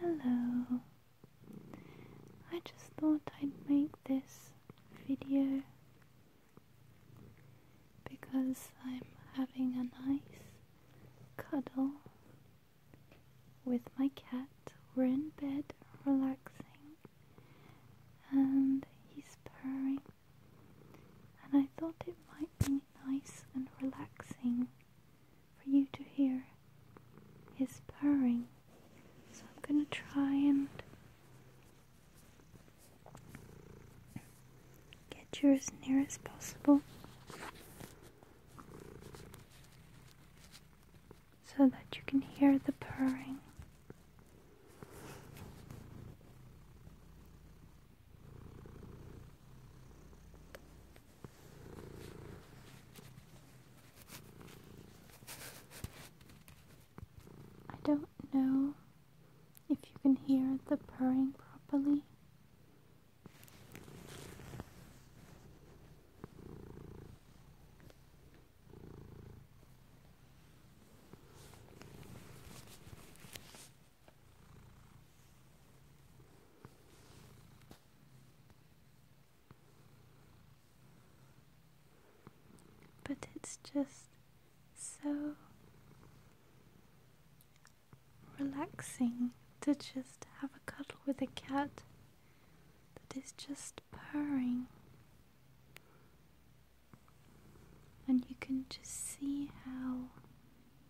Hello. I just thought I'd make this video because I'm having a nice cuddle with my cat we're in bed relaxing and he's purring and I thought it might be nice and relaxing for you to hear his purring so I'm gonna try and get you as near as possible so that you can hear the purring. I don't know if you can hear the purring properly. But it's just so relaxing to just have a cuddle with a cat that is just purring. And you can just see how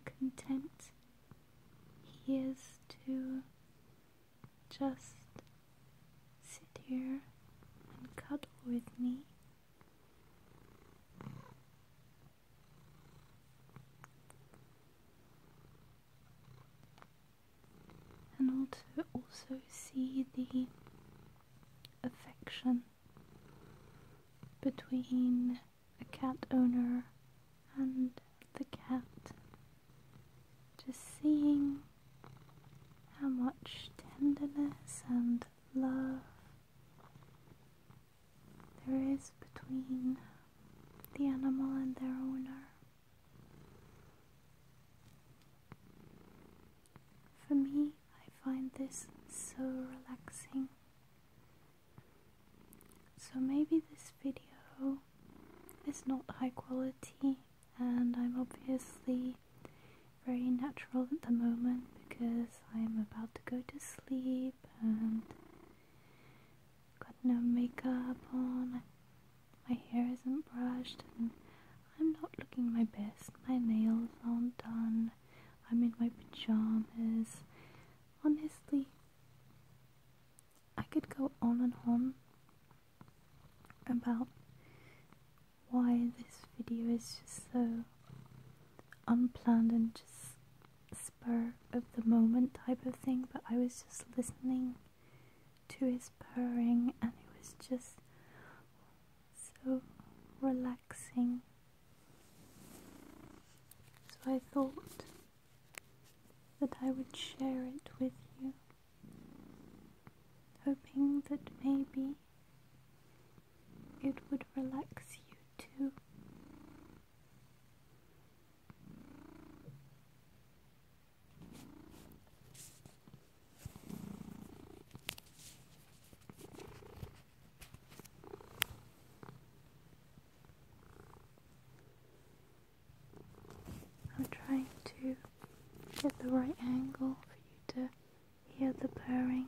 content he is to just sit here and cuddle with me and also also see the affection between a cat owner and the cat. Just seeing how much tenderness and love there is between the animal and their owner. For me, I find this so relaxing. So maybe this video is not high quality and I'm obviously very natural at the moment because I'm about to go to sleep and got no makeup on. My hair isn't brushed and I'm not looking my best. My nails aren't done. I'm in my pajamas. Honestly, I could go on and on about why this video is just so unplanned and just spur of the moment type of thing, but I was just listening to his purring, and it was just so relaxing. So I thought that I would share it with you, hoping that maybe it would relax you too. I'm trying to get the right angle for you to hear the purring.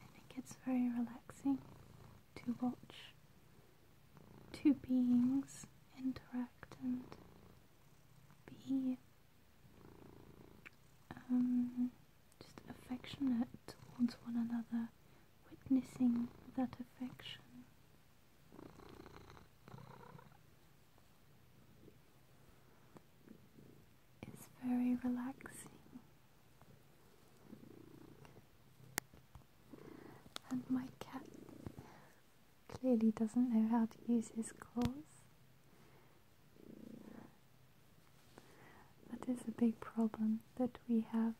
I think it's very relaxing to watch two beings interact and be um, just affectionate towards one another, witnessing that affection. It's very relaxing, and my cat clearly doesn't know how to use his claws. That is a big problem that we have.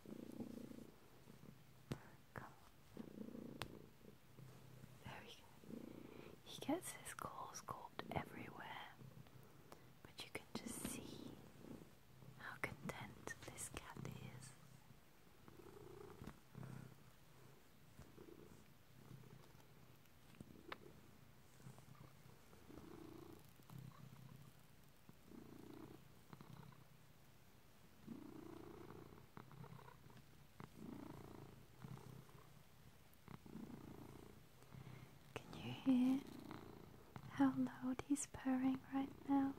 He gets his claws called everywhere, but you can just see how content this cat is. Can you hear how loud he's purring right now?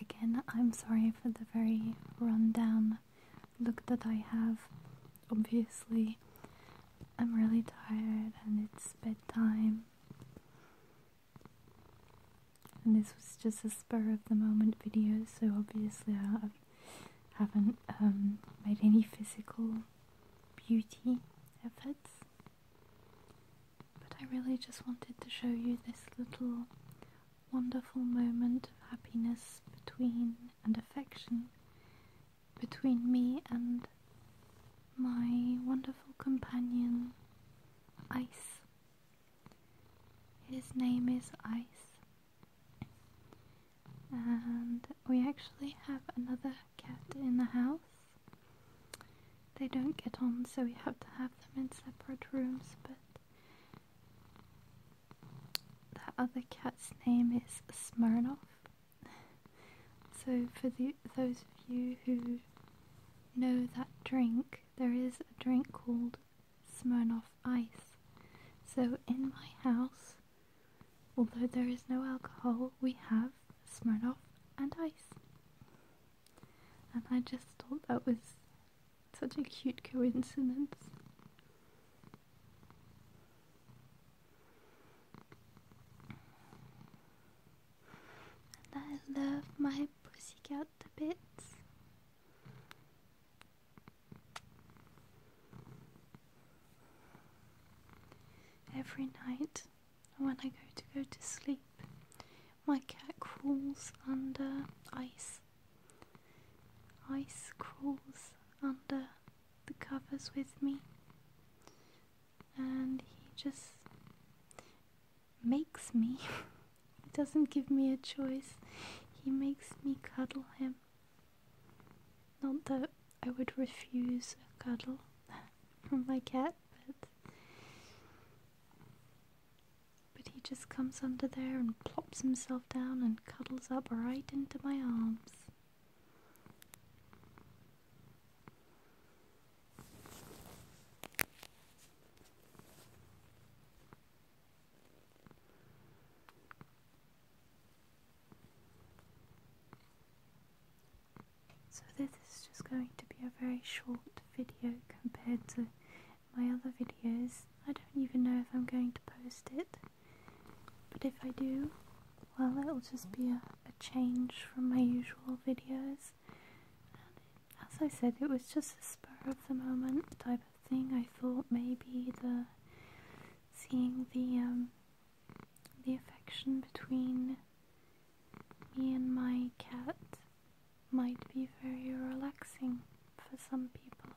Again, I'm sorry for the very rundown look that I have. Obviously, I'm really tired and it's bedtime and this was just a spur of the moment video, so obviously I haven't um, made any physical beauty efforts. But I really just wanted to show you this little wonderful moment of happiness between and affection between me and my wonderful companion, Ice. His name is Ice. And we actually have another cat in the house. They don't get on, so we have to have them in separate rooms, but that other cat's name is Smirnoff. so, for those of you who know that drink, there is a drink called Smirnoff Ice. So in my house, although there is no alcohol, we have Smirnoff and ice. And I just thought that was such a cute coincidence. And I love my pussycat to bits. Every night when I go to go to sleep, my cat crawls under ice. Ice crawls under the covers with me, and he just makes me. he doesn't give me a choice. He makes me cuddle him. Not that I would refuse a cuddle from my cat, but but he just comes under there and plops himself down and cuddles up right into my arms. So this is just going to be a very short video compared to my other videos. I don't even know if I'm going to post it, but if I do, well it'll just be a, change from my usual videos as I said, it was just a spur of the moment type of thing. I thought maybe the seeing the um, the affection between me and my cat might be very relaxing for some people.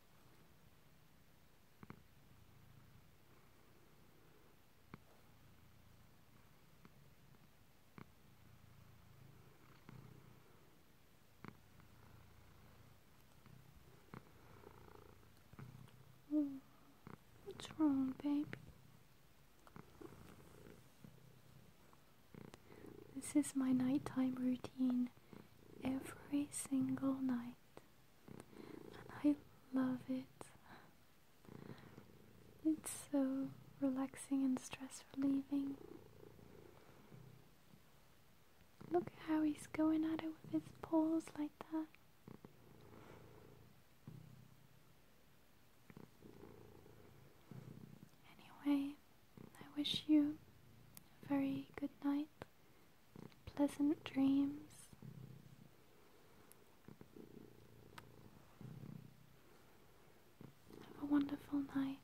what's wrong, baby? This is my nighttime routine every single night. I love it. It's so relaxing and stress relieving. Look how he's going at it with his paws like that. Anyway, I wish you a very good night pleasant dreams. Have a wonderful night.